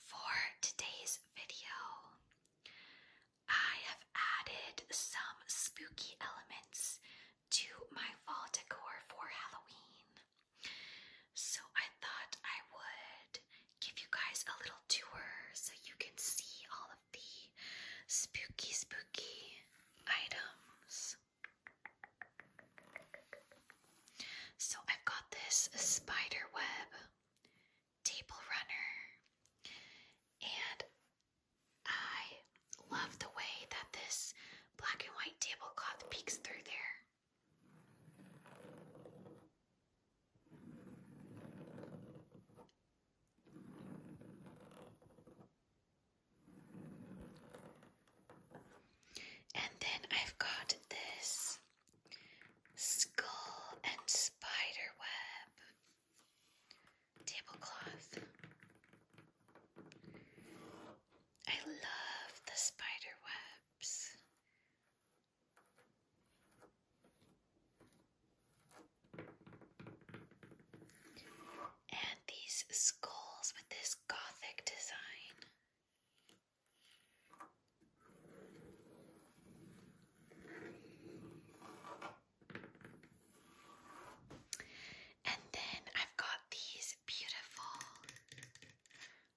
For today's video, I have added some spooky elements to my fall decor for Halloween. So I thought I would give you guys a little tour so you can see all of the spooky, spooky items. So I've got this spider web table runner, and I love the way that this black and white tablecloth peeks through there. And then I've got this Skull and spider web. Tablecloth. I love the spider And these skulls with this gothic design. And then I've got these beautiful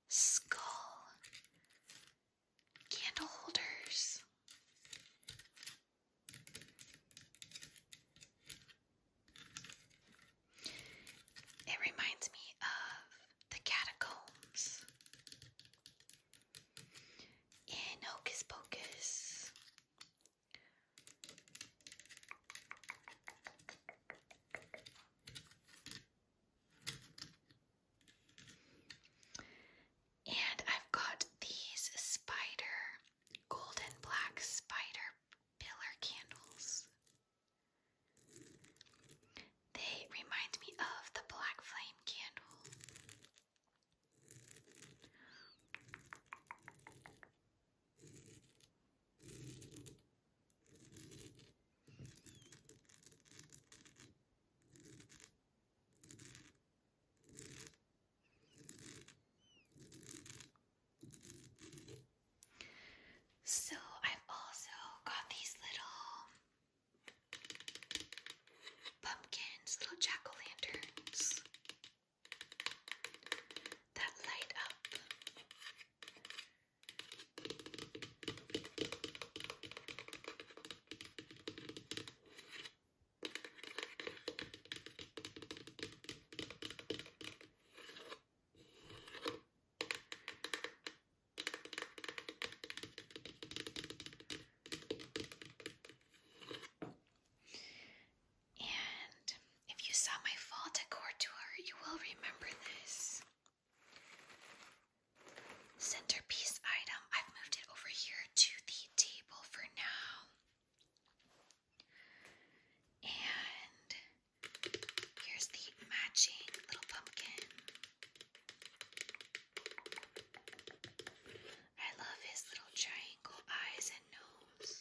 skull candle holders. It reminds me of the catacombs. In Hocus Pocus, and I've got these spider golden black spider pillar candles they remind me of the black flame candle. So, I've also got these little pumpkins, little jack o' lanterns that light up. And if you saw my fall decor tour, you will remember this. Centerpiece item, I've moved it over here to the table for now. And here's the matching little pumpkin. I love his little triangle eyes and nose.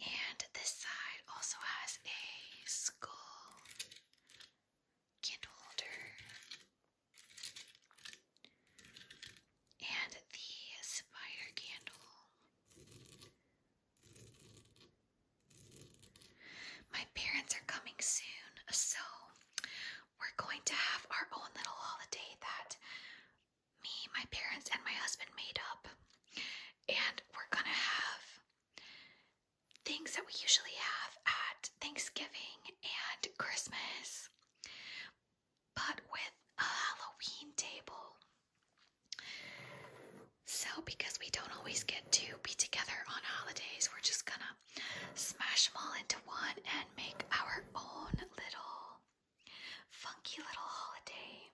And this side also has a skull candle holder and the spider candle. My parents are coming soon, so we're going to have our own little holiday that me, my parents, and my husband made up. And we're gonna have things that we usually have at Thanksgiving and Christmas but with a Halloween table. So, because we don't always get to be together on holidays, we're just gonna smash them all into one and make our own little funky little holiday.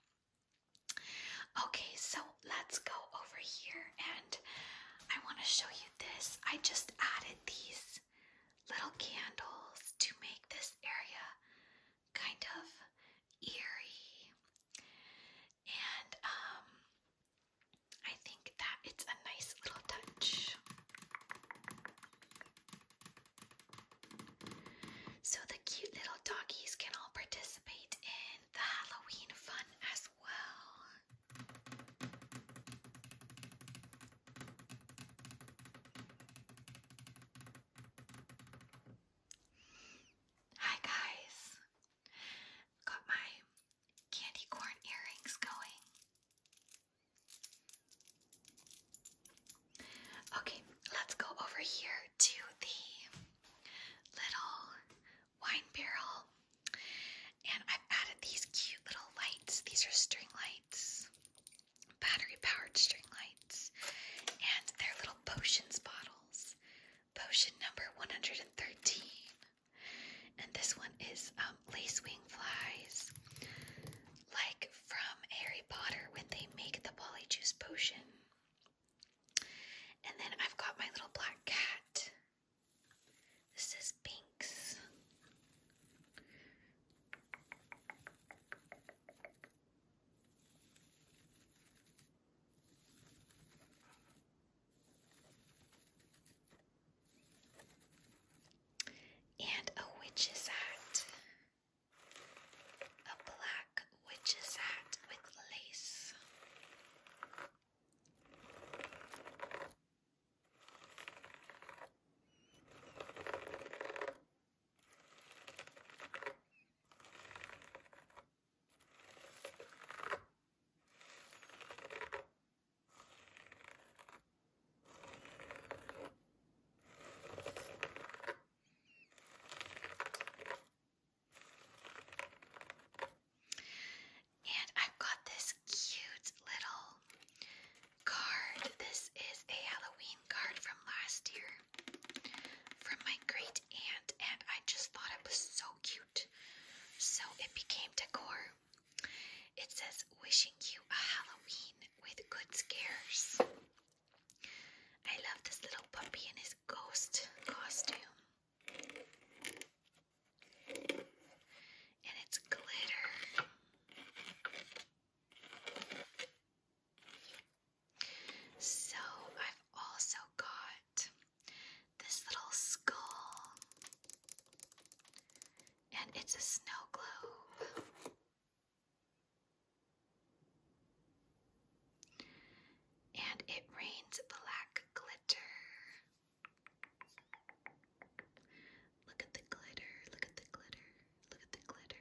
Okay, so let's go over here and I want to show you this. I just added these little candles to make this area kind of eerie, and um, I think that it's a nice little touch. So the cute little doggies can all participate in the Halloween fun as well. Hi guys! Got my candy corn earrings going. Okay, let's go over here to the little wine barrel. And I've added these cute little lights. These are string lights battery powered string lights, and their little potions bottles. Potion number 113. And this one is um, lacewing flies, like from Harry Potter when they make the polyjuice potion. And then I've got my little black cat. This is Binks. And a witch's hat. A black witch's hat with lace. And I've got this cute little card. This is a Halloween card from last year from my great aunt, and I just thought it was so cute. So it became decor. It says, Wishing you a Halloween with good scares. I love this little puppy in his ghost costume. And it's glitter. So I've also got this little skull, and it's a snow globe. And it rains black glitter. Look at the glitter, look at the glitter, look at the glitter.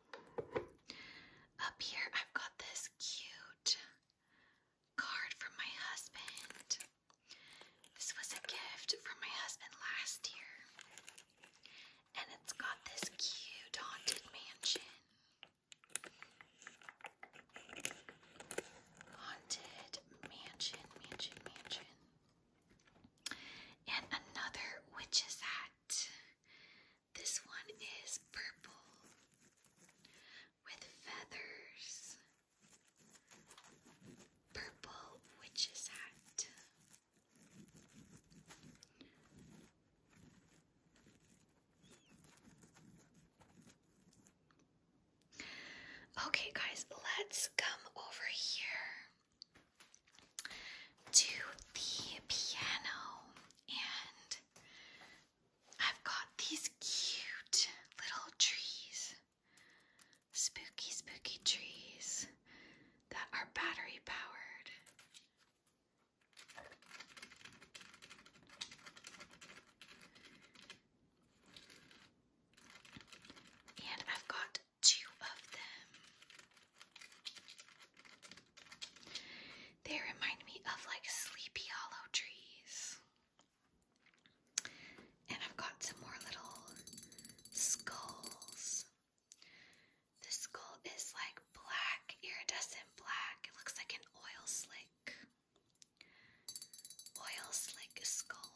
up here, I've got this cute card from my husband. This was a gift from my husband last year. And it's got this cute haunted mansion. Haunted mansion, mansion, mansion. And another witch's hat. This one is purple with feathers. Purple witch's hat. Okay, guys, let's come over here to the piano, and I've got these cute little trees, spooky, spooky trees that are battery powered. And I've got two of them. They remind me of like sleepy hollow trees. And I've got some more little skulls. The skull is like black, iridescent black. It looks like an oil slick. Oil slick skull.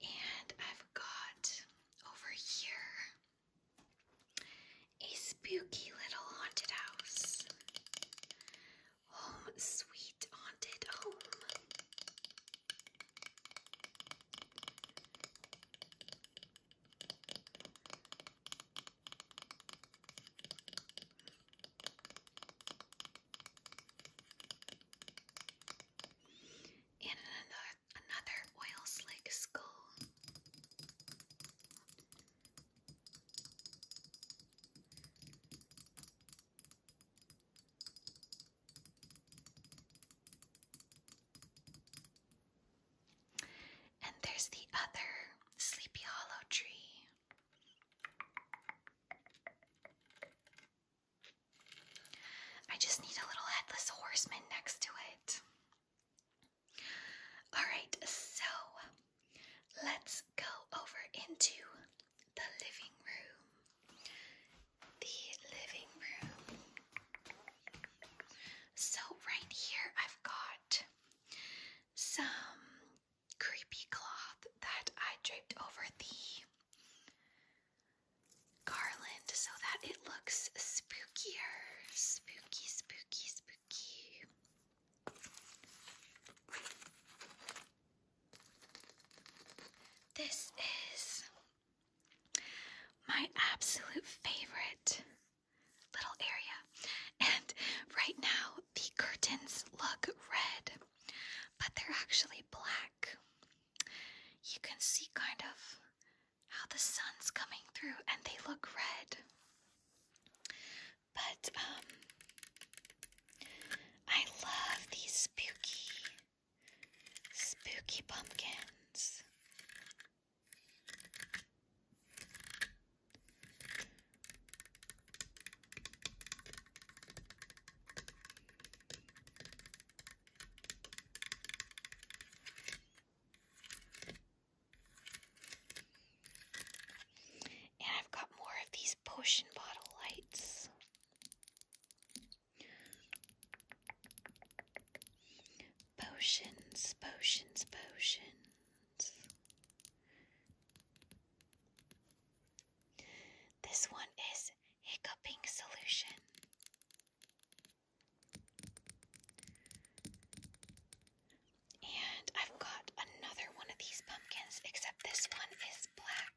And I've got over here a spooky little haunted house. Home sweet haunted home. And another oil slick skull. And there's the other Sleepy Hollow tree. I just need a little headless horseman next to it. Alright, so let's go over into the living room. The living room. So, right here, I've got some creepy cloth that I draped over the garland so that it looks spookier. Spooky, spooky, spooky. This is my absolute favorite little area. And right now, the curtains look red, but they're actually black. You can see kind of how the sun's coming through, and they look red. But, um, I love these spooky, spooky pumpkins. And I've got more of these potion bottle lights. Potions, potions, potions. This one is hiccuping solution. And I've got another one of these pumpkins, except this one is black.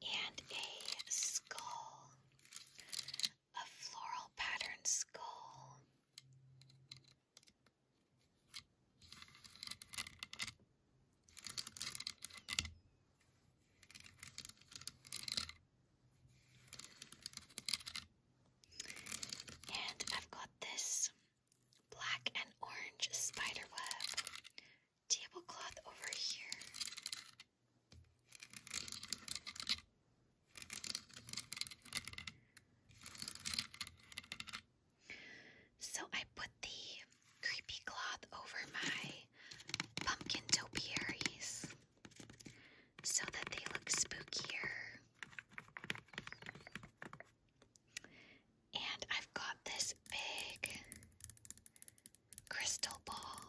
and a skull, a floral pattern skull. And I've got this black and orange spider tablecloth over here. So I put the creepy cloth over my pumpkin topiaries so that they look spookier. And I've got this big crystal ball.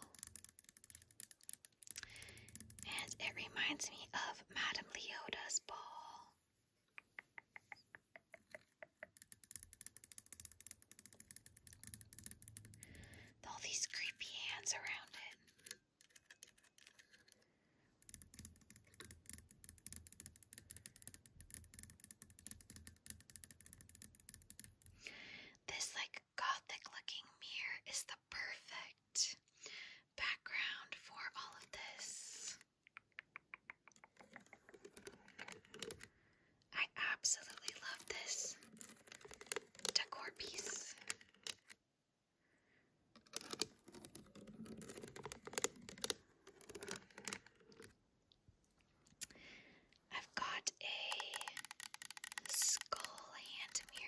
And it reminds me of Madame Leota's ball. all these creepy hands around it. This like gothic looking mirror is the perfect background for all of this. I absolutely love this decor piece. I've got a skull hand mirror.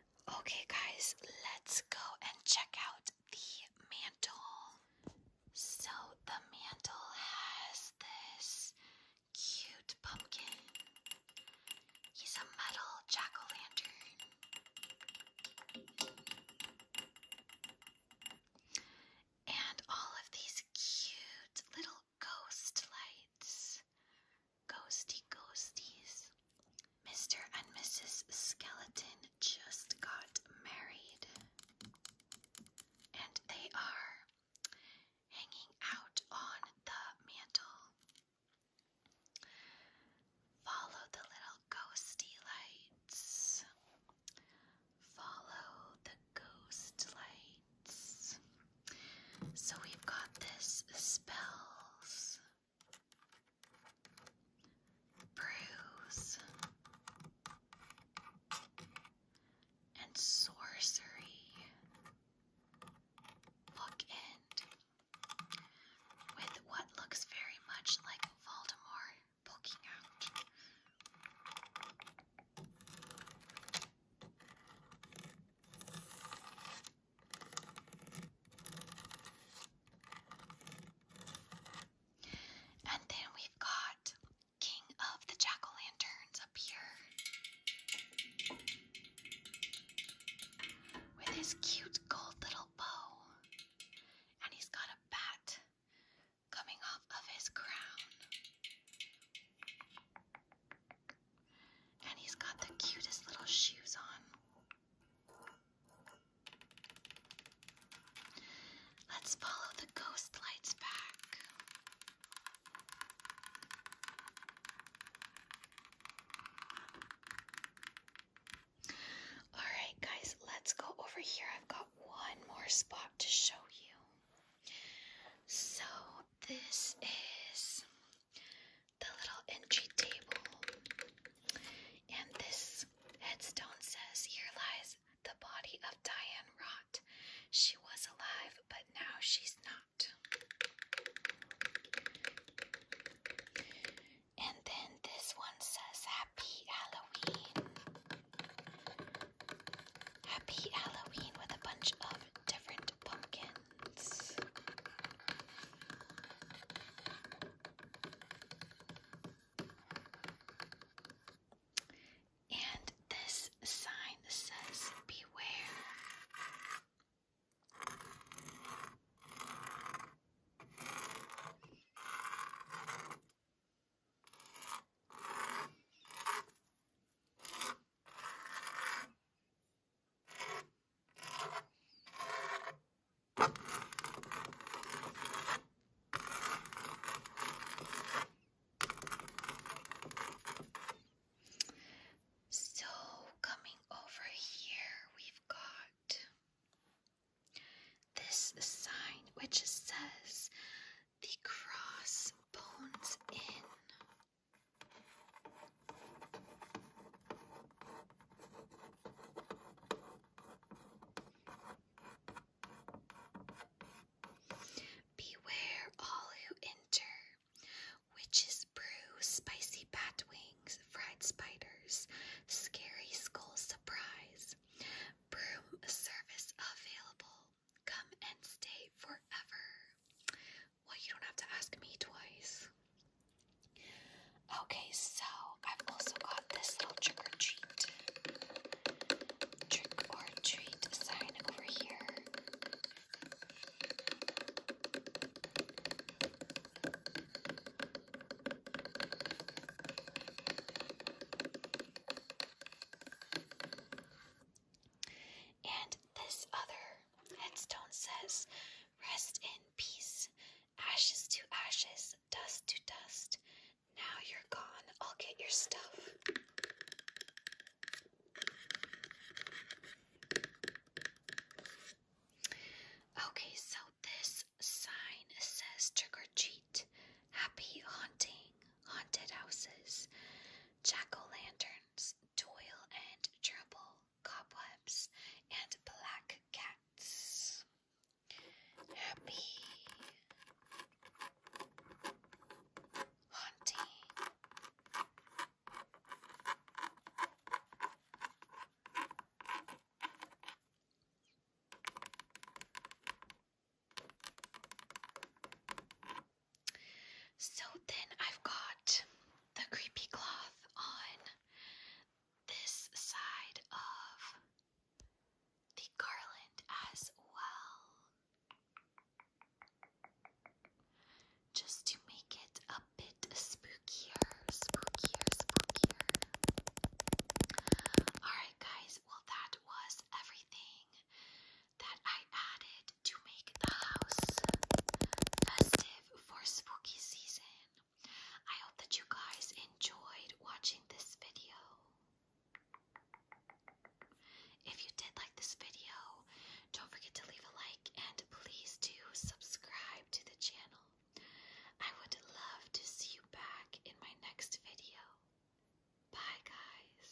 Okay, guys, let's go and check out the mantle. So, the mantle has this cute pumpkin. He's a metal jack o' lantern. And all of these cute little ghost lights. Ghosty ghosties. Mr. and Mrs. Skeleton just got married, and they are hanging out on the mantle. Follow the little ghosty lights. Follow the ghost lights. So we've got this spells brews, and sorcery bookend with what looks very much like Voldemort poking out. And then we've got King of the Jack o' Lanterns up here with his cute gold little bow. And he's got a bat coming off of his crown. And he's got the cutest little shoes on. Let's follow the ghost lights back. Alright, guys, let's go over here. I've got one more spot to show you. So, this is the little entry table. And this headstone says, Here lies the body of Diane Rott. She was alive, but now she's not. And then this one says, Happy Halloween. Happy Halloween with a bunch of different pumpkins. And this sign says, Beware. So, coming over here, we've got this sign which says the Cross Bones Inn. Beware all who enter. Witches brew, spicy bat wings, fried spiders, scary skull surprise. Broom service available. Come and stay forever. Well, you don't have to ask me twice. Okay, so I've also got this little trick or treat, trick or treat sign over here. And this other headstone says, Rest in peace, ashes to ashes, dust to dust. Now you're gone. I'll get your stuff. Okay, so this sign says trick or treat, happy haunting, haunted houses, jack o' lanterns, toil and trouble, cobwebs, and black cats happy haunting so then I've got the creepy cloth on this side of the garland as well, just to make it a bit spookier, spookier, spookier. Alright, guys, well, that was everything that I added to make the house festive for spooky season. I hope that you guys enjoyed watching this video. If you did like this video, don't forget to leave a like and please do subscribe to the channel. I would love to see you back in my next video. Bye, guys.